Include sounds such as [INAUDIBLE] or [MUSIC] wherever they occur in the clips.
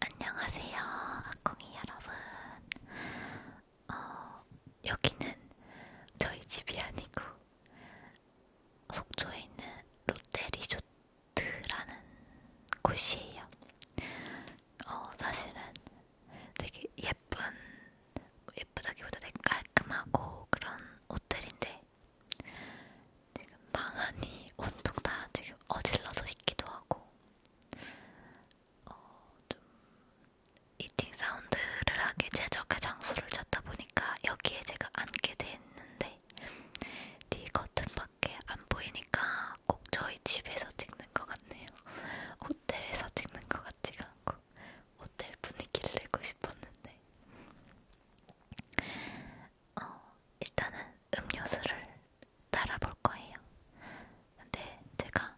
안녕하세요, 아콩이 여러분. 어, 여기는 저희 집이 아니고 속초에 있는 롯데리조트라는 곳이에요. 어, 사실은 되게 예쁜 예쁘다기보다 되게 깔끔하고 그런 호텔인데 지금 방 안이 온통 다 지금 어질러져 있기도 하고 어, 좀 이팅 사운드를 하기 최적의 장소를 찾다 보니까 여기에 제가 앉게 됐는데 뒤 네 커튼밖에 안 보이니까 꼭 저희 집에서 찍는 것 같네요. [LAUGHS] 호텔에서 찍는 것 같지가 않고 호텔 분위기를 내고 싶었는데 어, 일단은 음료수를 따라볼 거예요. 근데 제가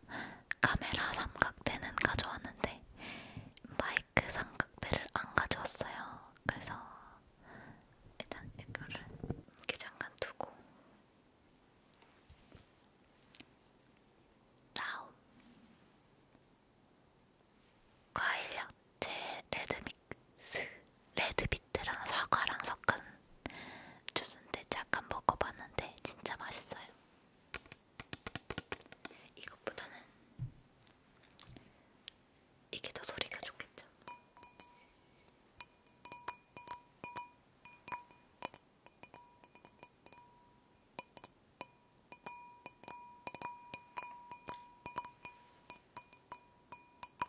카메라 삼각대는 가져왔는데 마이크 삼각대를 안 가져왔어요. 그래서 일단 이거를 이렇게 잠깐 두고 다음 과일향 제 레드믹스 레드비트랑 사과랑 섞은 주스인데 잠깐 먹어봤는데 진짜 맛있어요. 이것보다는 이게 더 소리가 좋겠죠.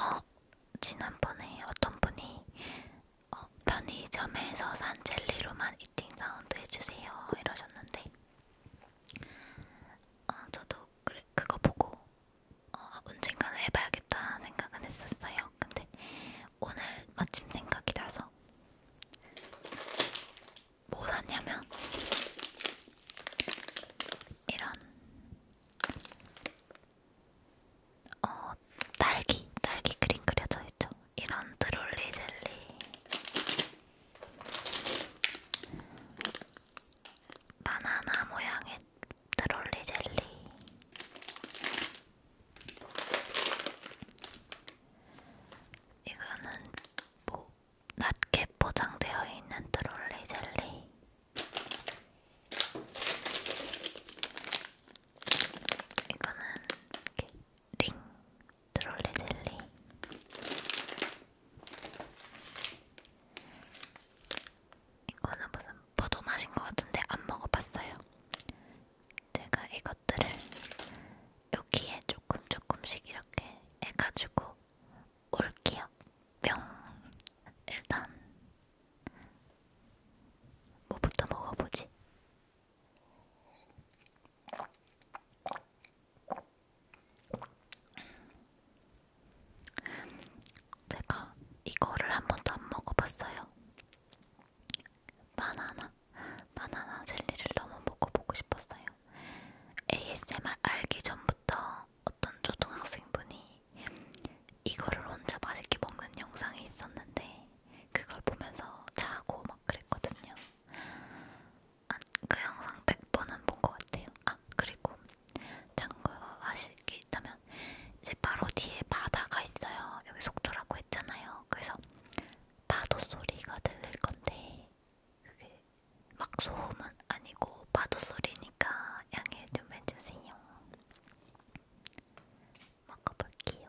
어, 지난번에 어떤 분이 어, 편의점에서 산 젤리로만 이팅 사운드 해주세요 이러셨는데 어, 저도 그래, 그거 보고 어, 언젠가는 해봐야겠다 생각은 했었어요. 근데 오늘 마침 생각이 나서 뭐 샀냐면 이런 어 딸기, 딸기 그림 그려져 있죠. 이런 드롤리 젤리 바나나 모양의 트롤리 젤리 이거는 뭐 낮게 포장되어 있는 트롤리 젤리 이거는 이렇게 링 트롤리 젤리 이거는 무슨 포도 맛인 것 같은데 안 먹어봤어요. 제가 이것들을 여기에 조금 조금씩 이렇게 해가지고 올게요. 뿅! 일단 뭐부터 먹어보지? 제가 이거를 한 번도 안 먹어봤어요. 바나나, 바나나 젤리를 너무 먹어보고 싶었어요. ASMR 알기 전부터 어떤 초등학생분이 이거를 혼자 맛있게 먹는 영상이 있었는데 그걸 보면서 자고 막 그랬거든요. 아, 그 영상 100번은 본 것 같아요. 아 그리고 참고하실게 있다면 이제 바로 뒤에 바다가 있어요. 여기 속초라고 했잖아요. 그래서 파도 소리가 들릴 건데 그게 막 소음은 아니고 파도 소리니까 양해 좀 해주세요. 먹어볼게요.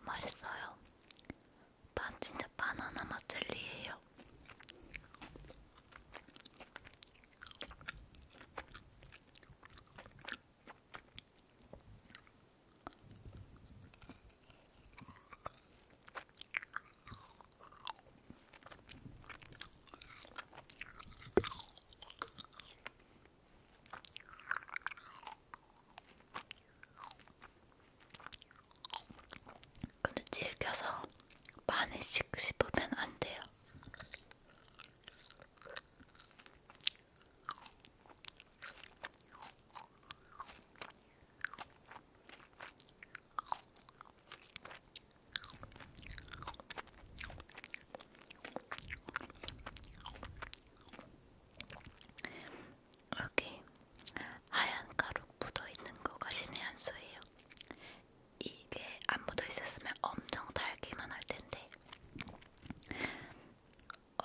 맛있어요. 반 진짜 바나나 맛 젤리예요. 근데 질겨서 많이씩 씹으면 안 돼요. 여기 하얀 가루 묻어있는 거가 신의 한 수예요. 이게 안 묻어있었으면 엄청 달기만 할 텐데,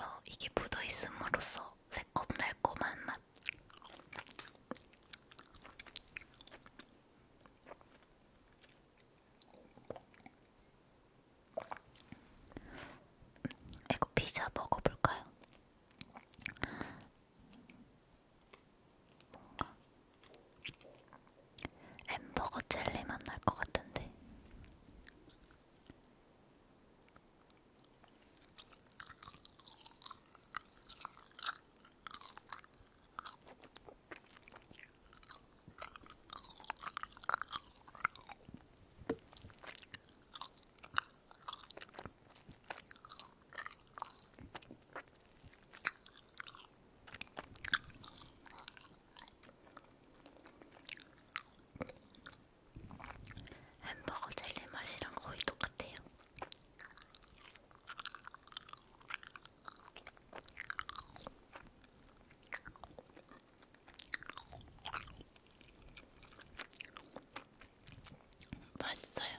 어, 이게 묻어있음으로써 새콤달콤한 맛. 이거 피자 먹어볼까요? 뭔가 햄버거 젤리 맛날 것 같은데. 햄버거 젤리 맛이랑 거의 똑같아요. 맛있어요.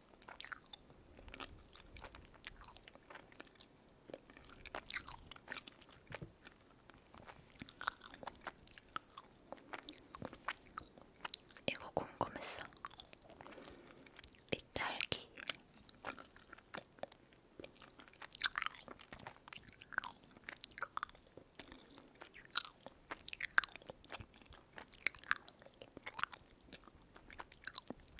이거 궁금했어. 이 딸기.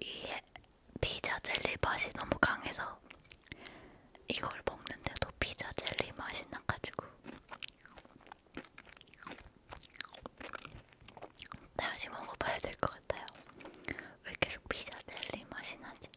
이 피자 젤리 맛이 너무 강해서 이걸 먹는데도 피자 젤리 맛이 나가지고 다시 먹어봐야 될 것 같아요. 왜 계속 피자 젤리 맛이 나지?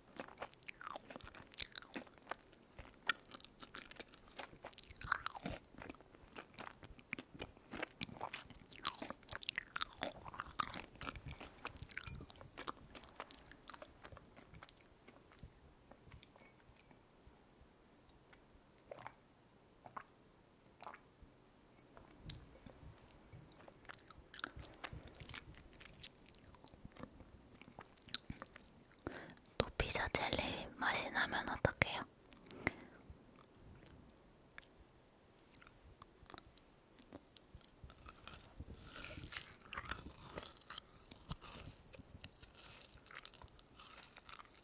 또 피자 젤리 맛이 나면 어떡해요?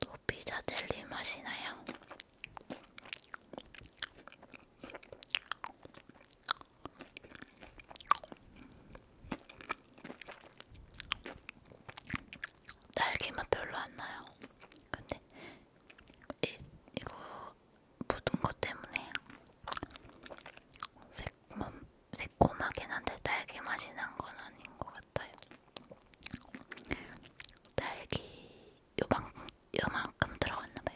또 피자 젤리 맛이 나요. 딸기맛 별로 안 나요. 근데 이, 이거 묻은 것 때문에 새콤, 새콤하긴 한데 딸기 맛이 난 건 아닌 것 같아요. 딸기 요만, 요만큼 들어갔나봐요.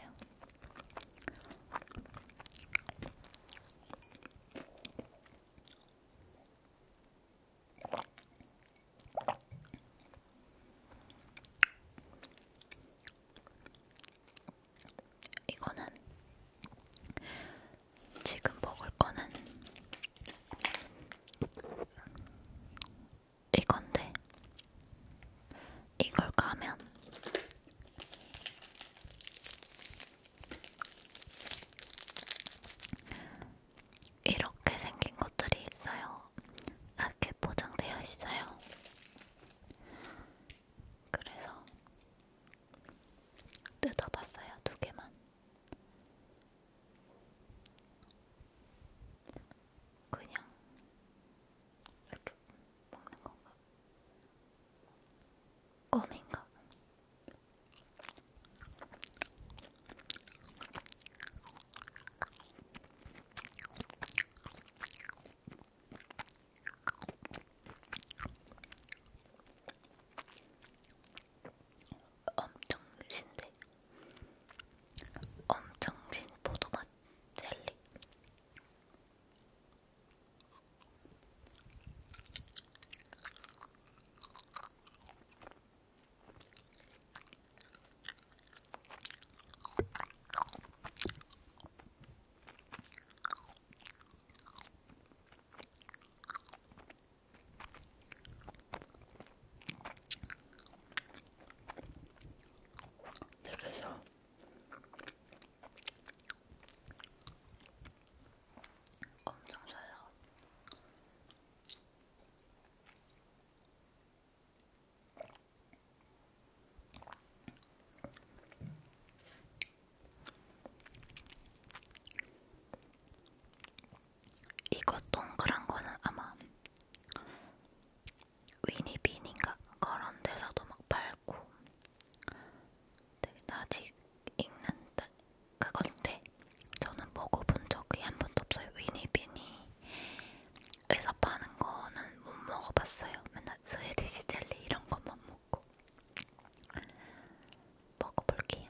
이거는 지금 먹을 거는 이건데 이걸 가면 이렇게 생긴 것들이 있어요. 이렇게 포장되어 있어요. 그래서 뜯어봤어요, 두 개만. 그냥 이렇게 먹는 건가? 껌인가? 엄청 신데 엄청 신 포도맛 젤리 그래서 엄청 셔요. 이거 동그란 거는 아마 위니빈인가 그런 데서도 막 팔고 되게 아직 읽는 그건데 저는 먹어본 적이 한 번도 없어요. 위니빈이 그래서 파는 거는 못 먹어봤어요. 맨날 스웨디시 젤리 이런 것만 먹고 먹어볼게요. 음.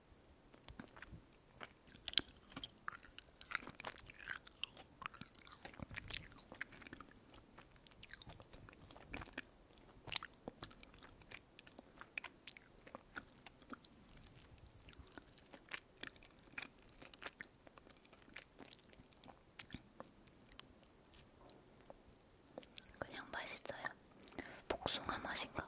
그냥 맛있어요. 복숭아 맛인가?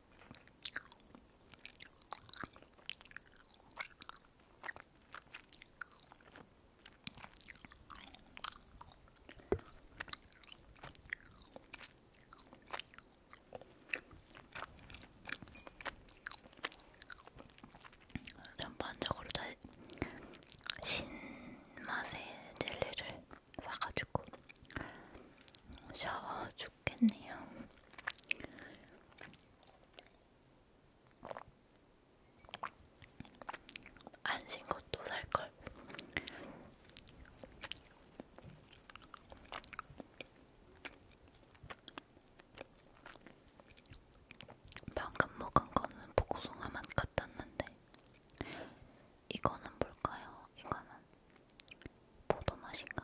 전반적으로 다 신맛의 젤리를 사가지고 샤워 좋겠네요. 안신 것도 살걸. 방금 먹은 거는 복숭아만 같았는데 이거는 뭘까요? 이거는 포도 맛인가?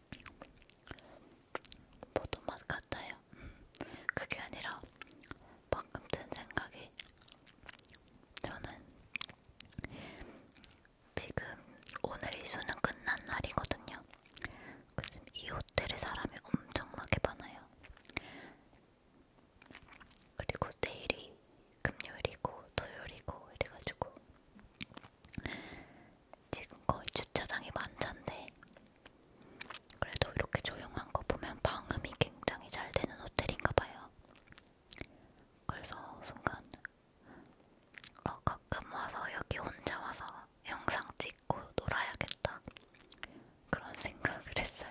포도 맛 같아요. 음, 그게 아니라 방금 든 생각이 저는 지금 오늘이 수능 끝난 날이거든요. 그래서 이 호텔에 사람이 엄청나게 많아요. 그리고 내일이 금요일이고 토요일이고 이래가지고 지금 거의 주차장이 만찬데 그래도 이렇게 조용한 거 보면 방음이 굉장히 잘 되는 호텔인가 봐요. 그래서 순간 어, 가끔 와서 여기 혼자 와서 영상 찍고 놀아야겠다 그런 생각을 했어요.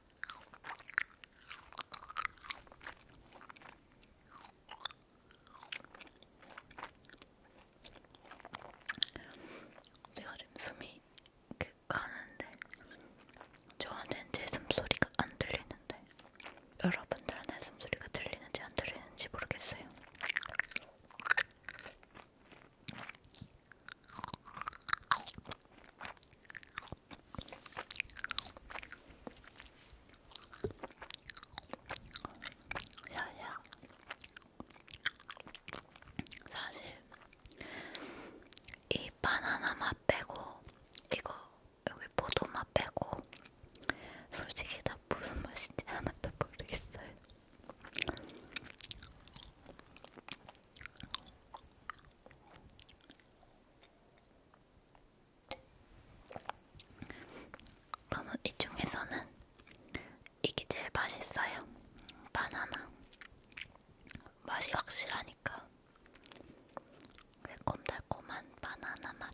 제가 지금 숨이 그 가는데 저한테는 제 숨소리가 안 들리는데 여러분들한테 숨소리가 들리는지 안 들리는지 모르겠어요. 야야 사실 이 바나나 맛 빼고 이거 여기 포도 맛 빼고 솔직히 다 무슨 맛인지 하나도 모르겠어요. 그러면 이 중에서는 이게 제일 맛있어요. 바나나 맛이 확실하니까 새콤달콤한 바나나 맛.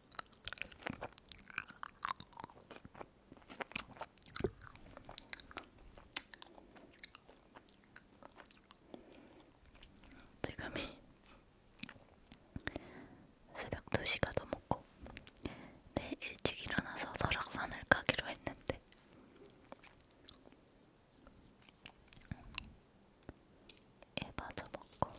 지금이 새벽 2시가 넘었고 내일 네, 일찍 일어나서 설악산을 가기로 했는데 예, 맞아 먹고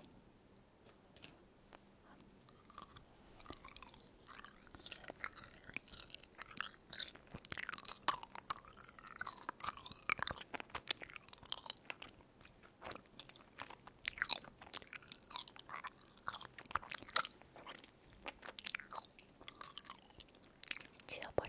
지워버려.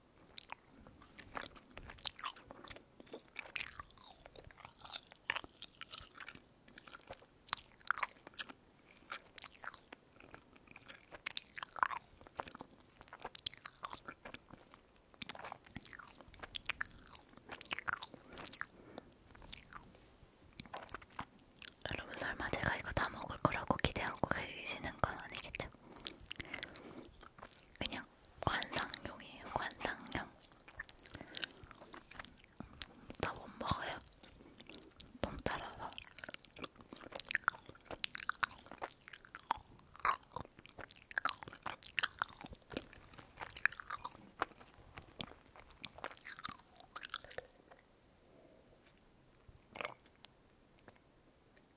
여러분 설마 제가 이거 다 먹을 거라고 기대하고 계시는 건 아니겠죠? 그냥 관상용이에요. 관상용. 나 못 먹어요. 너무 달아서.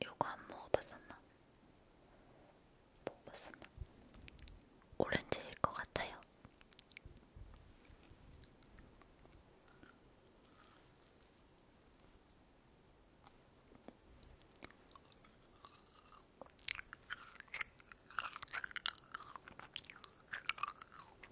이거 안 먹어봤었나? 먹어봤었나? 오렌지일 것 같아요.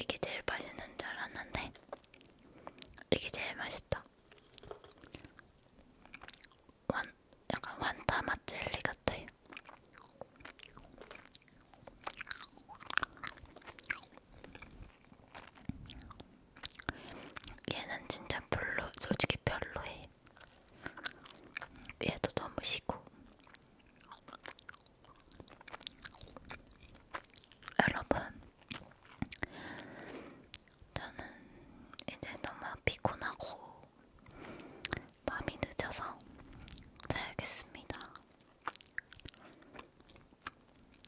이게 제일 맛있는 줄 알았는데 이게 제일 맛있다. 완, 약간 완타 맛 젤리 같아요. 얘는 진짜 별로, 솔직히 별로해. 얘도 너무 시고. 여러분, 저는 이제 너무 피곤하고 밤이 늦어서 자야겠습니다.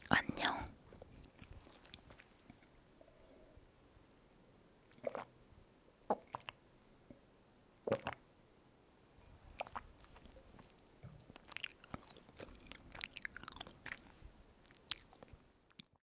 안녕.